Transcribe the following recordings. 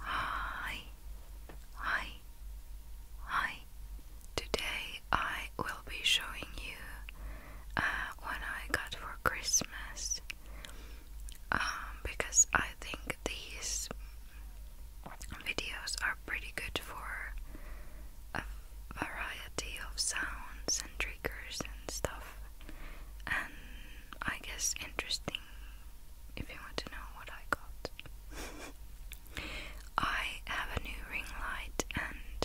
Hi, hi, hi. Today I will be showing you uh, what I got for Christmas um, because I think these videos are pretty good for a variety of sounds and triggers and stuff. And I guess interesting if you want to know what I got. I have a new ring light and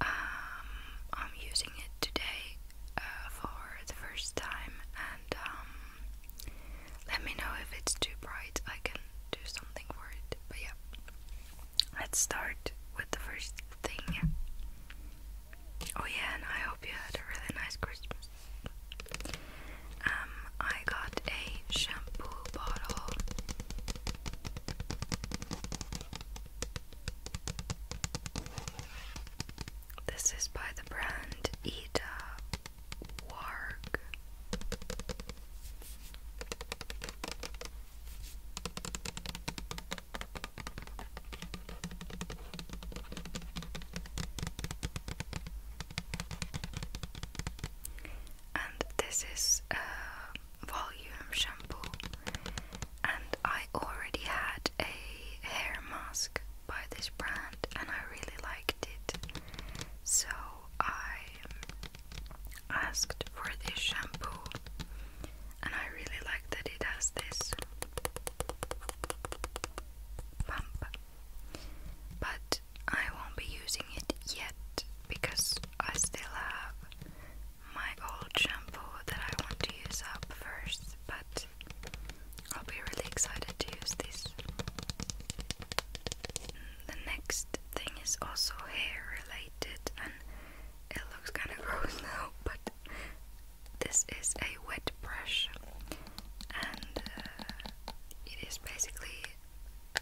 um, I'm using it today uh, for the first time and um, let me know if it's too bright. I can do something for it. But yeah, let's start with the first thing. Oh yeah, and I hope you had a really nice Christmas. Um, I got a shampoo bottle. This is by the brand Ida Warg. And this is a volume shampoo, and I already had a hair mask by this brand, and I really liked it. So I asked for this shampoo, and I really like that it does this pump but I won't be using it yet because I still have my old shampoo that I want to use up first but I'll be really excited to use this the next thing is also hair related and it looks kind of gross now but this is a wet brush, and uh, it is basically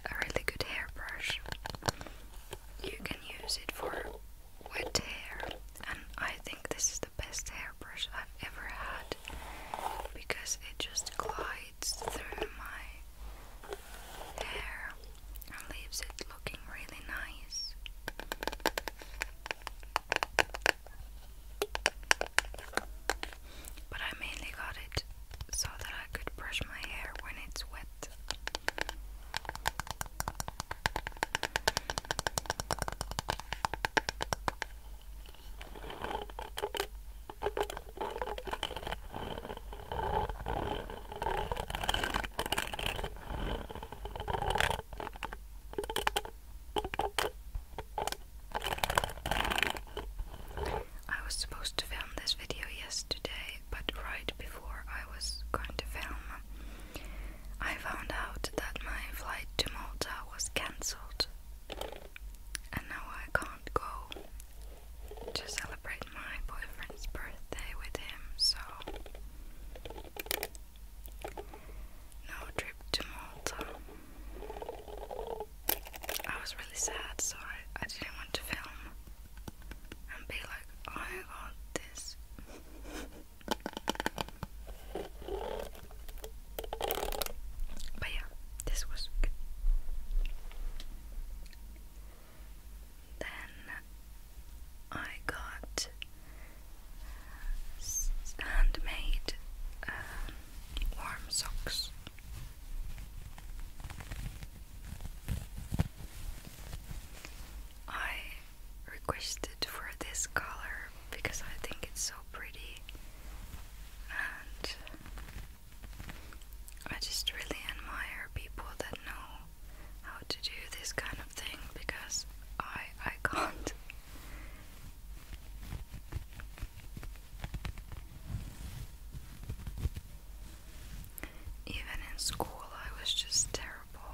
a really good hairbrush. You can use it for wet hair, and I think this is the best hairbrush I've ever had because it just glides through my hair and leaves it looking really nice. But I mainly got it so that I could brush my hair when it's wet. I was supposed to film this video yesterday, but right before I was going to film, I found out that my flight to Malta was cancelled, and now I can't go to celebrate my boyfriend's birthday with him, so no trip to Malta. I was really sad, so I, I didn't want to film and be like, I got this. but yeah, this was good. Then I got handmade um, warm socks. I requested for this color because I think it's so pretty and I just really admire people that know how to do this kind of thing because I I can't even in school, I was just terrible.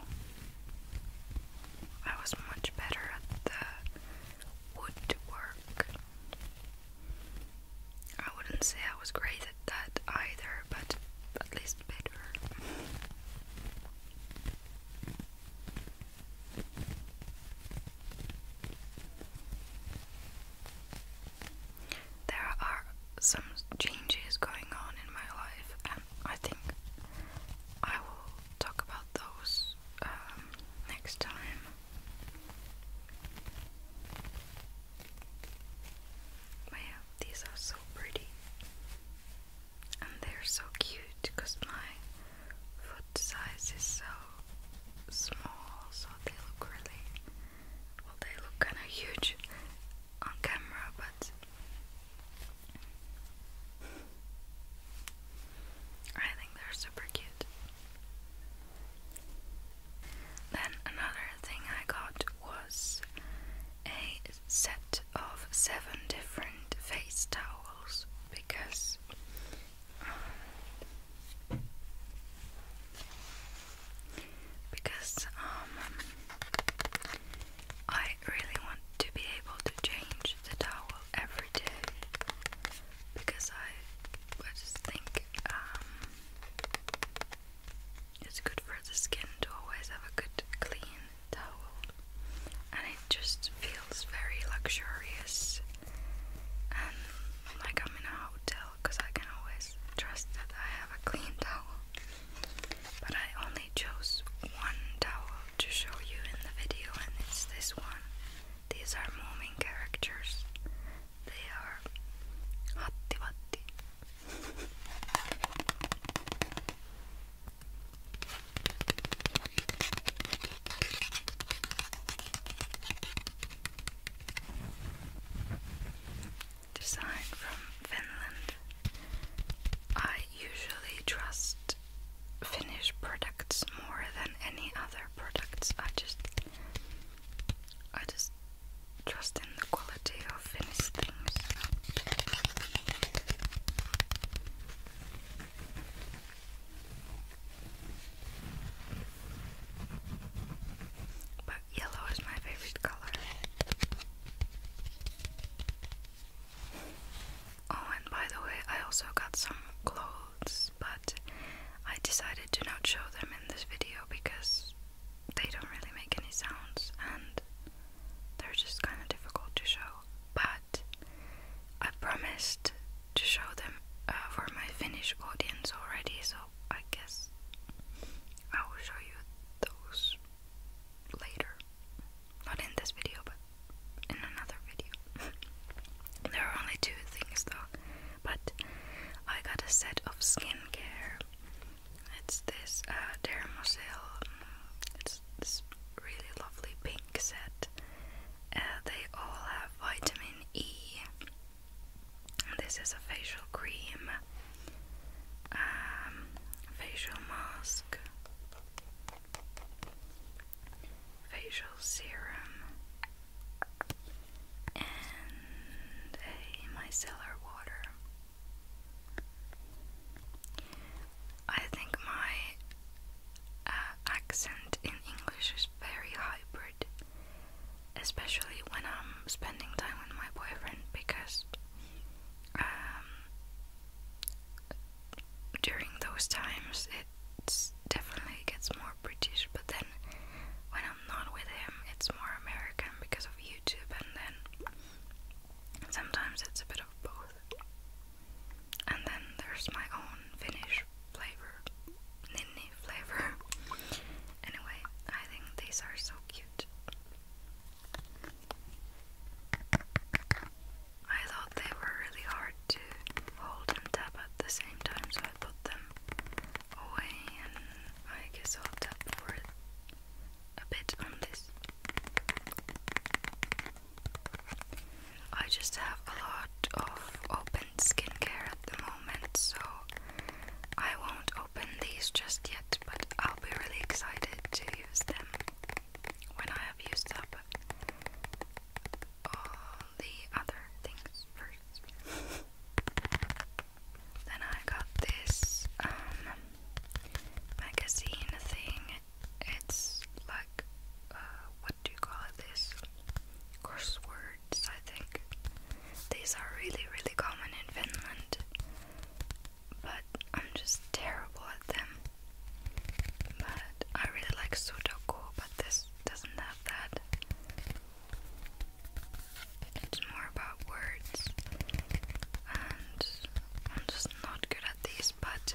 I was much better at the woodwork. I wouldn't say I was great at that either, but at least better. There are some changes going on in my life, and I think I will talk about those um, next time. But these are so pretty and they're so cute because my foot size is so small so they look really well they look kind of huge on camera but I think they're super cute then another thing I got was a set of seven different face towels because um, because um I really want to be able to change the towel every day because I I just think um it's good for the skin to always have a good clean towel, and it just feels very luxurious and like I'm in a hotel because I can always trust that I have a clean towel. But I only chose one towel to show you in the video, and it's this one. These are Moomin characters. They are Hatti Watti. Design from Finland. I usually trust Finnish products more than any other products. I just I just trust in the quality of Finnish things. But yellow is my favorite color. Oh, and by the way, I also got some clothes, but I decided to not show them in this video because they don't really make any sounds and they're just kind of difficult to show. But I promised to show them uh, for my Finnish audience already, so I guess I will show you those later. Not in this video, but in another video. there are only two things though, but I got a set of skincare. It's this uh, dermocell. Mm, it's this, really lovely pink set. Uh, they all have vitamin E. This is a facial cream, um, facial mask, facial serum, and a micellar water. I think my uh, accent in English is very hybrid, especially when I'm spending time with my boyfriend because um, during those times it definitely gets more British, but then when I'm not with him, it's more American because of YouTube, and then sometimes it's a bit of both. And then there's my own Finnish flavor, ninni flavor. Anyway, I think these are so cute. I thought they were really hard to hold and tap at the same time, so I put them away, and I guess I'll tap for a bit on this. I just have a lot of open skincare at the moment, so I won't open these just yet, but I'll be really excited to use them when I have used up all the other things first. then I got this um, magazine thing it's like, uh, what do you call this? Crosswords, I think. These are really, really common in Finland, but I'm just terrible at them. But I really like Sudoku, but this doesn't have that. It's more about words, and I'm just not good at these, but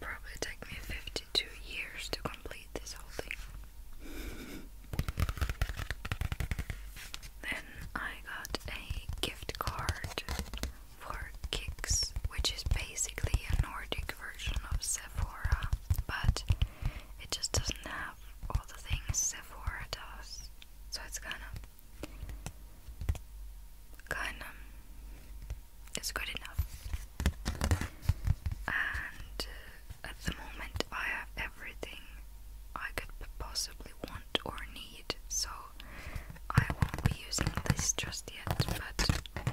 probably take me 52 years to complete this whole thing. then I got a gift card for Kicks, which is basically a Nordic version of Sephora, but it just doesn't have all the things Sephora does. So it's kind of, kind of it's good enough. And at the moment, I have everything I could possibly want or need, so I won't be using this just yet. But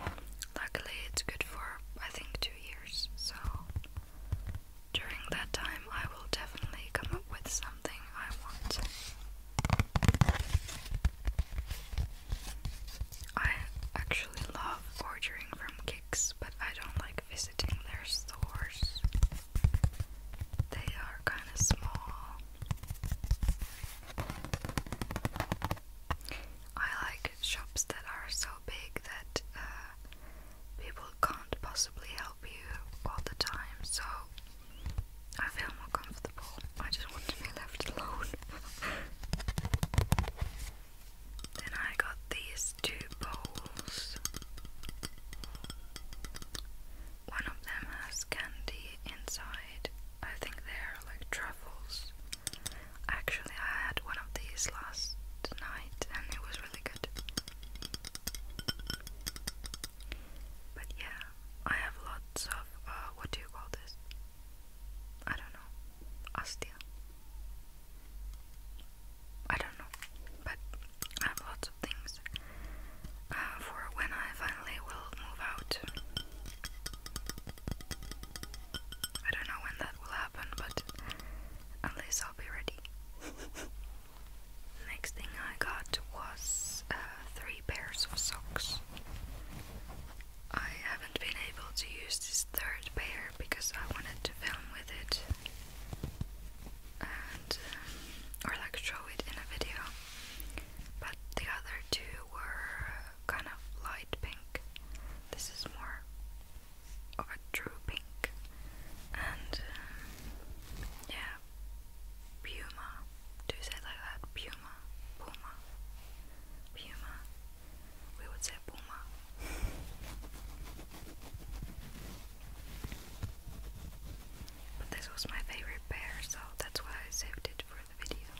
luckily, it's good for I think two years, so during that time, I will definitely come up with something I want. I actually love ordering from Kicks, but I don't like visiting their stores. They are kind of small. I like shops that are so big that uh, people can't possibly help you all the time, so I feel more comfortable. I just want to be left alone. Then I got these two bowls. One of them has candy inside. I think they're like truffles. Actually, I had one of these last night and it was really good. But yeah, I have lots of uh, what do you call this? I don't know, Ostia. I don't know, but I have lots of things uh, for when I finally will move out. I don't know when that will happen, but at least I'll be ready. Next thing I got was uh, three pairs of socks. I haven't been able to use this third pair because I wanted to film with it and um, or like show it in a video, but the other two were kind of light pink. This is more of a true pink, and um, yeah, Puma. Do say like that? Puma, Puma, Puma we would say Puma. But this was my favorite pair, so that's why I saved it for the video.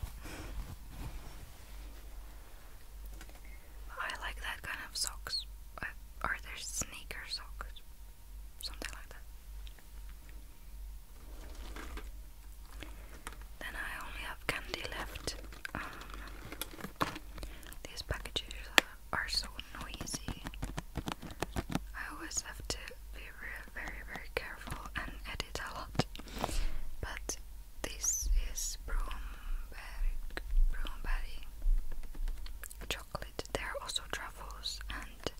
I like that kind of socks. Uh, are there sneaker socks? Something like that. Then I only have candy left. Um, these packages are, so noisy. I always have to be very, very careful and edit a lot. But this is Broomberg, Broomberry chocolate. There are also truffles, and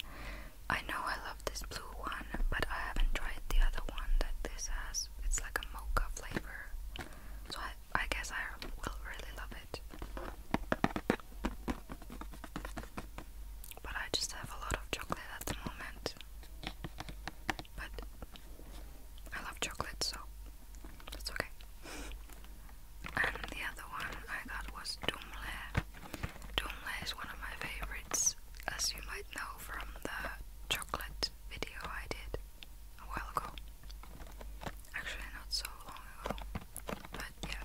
I know I love this blue one, but I haven't tried the other one that this has it's like a mocha flavor. So I guess I will really love it. But I just have a lot of chocolate at the moment. But I love chocolate, so that's okay. and the other one I got was Dumle. Dumle is one of my favorites, as you might know from the chocolate video I did a while ago. Actually, not so long ago. But yeah,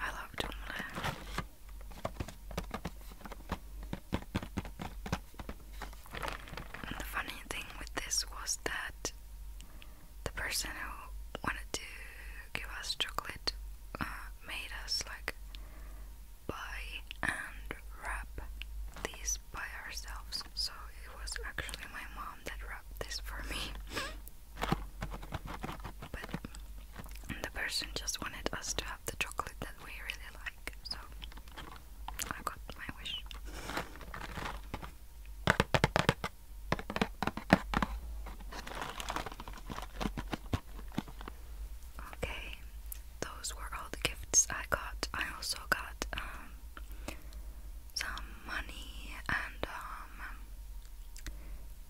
I love Doomland. And the funny thing with this was that the person who wanted to give us chocolate uh, made us like buy and wrap these by ourselves. So it was actually my mom that wrapped this for me. but the person just wanted us to have the chocolate that we really like. So I got my wish. Okay, those were all the gifts I got. I also got um, some money and um,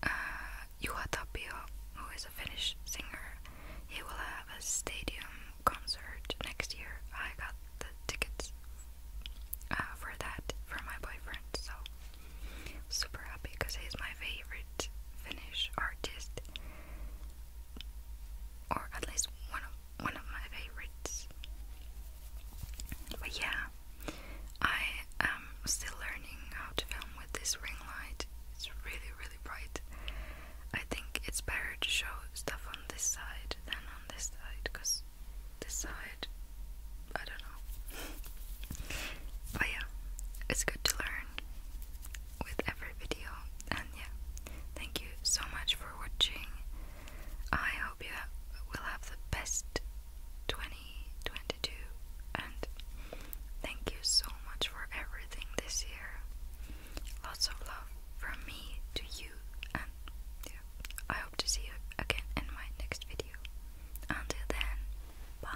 uh, Tapio, who is a Finnish singer. He will have a stadium concert next year. I got the tickets uh, for that for my boyfriend, so super happy because he's my favorite Finnish artist or at least one of one of my favorites. But yeah, I am still learning how to film with this ring light. It's really really bright. I think it's better to show stuff on this side than on this side because this side I don't know. but yeah, it's good to learn with every video. And yeah, thank you so much for watching. I hope you will have the best 2022 and thank you so much for everything this year. Lots of love from me to you and yeah, I hope to see you again in my next video. Until then, bye.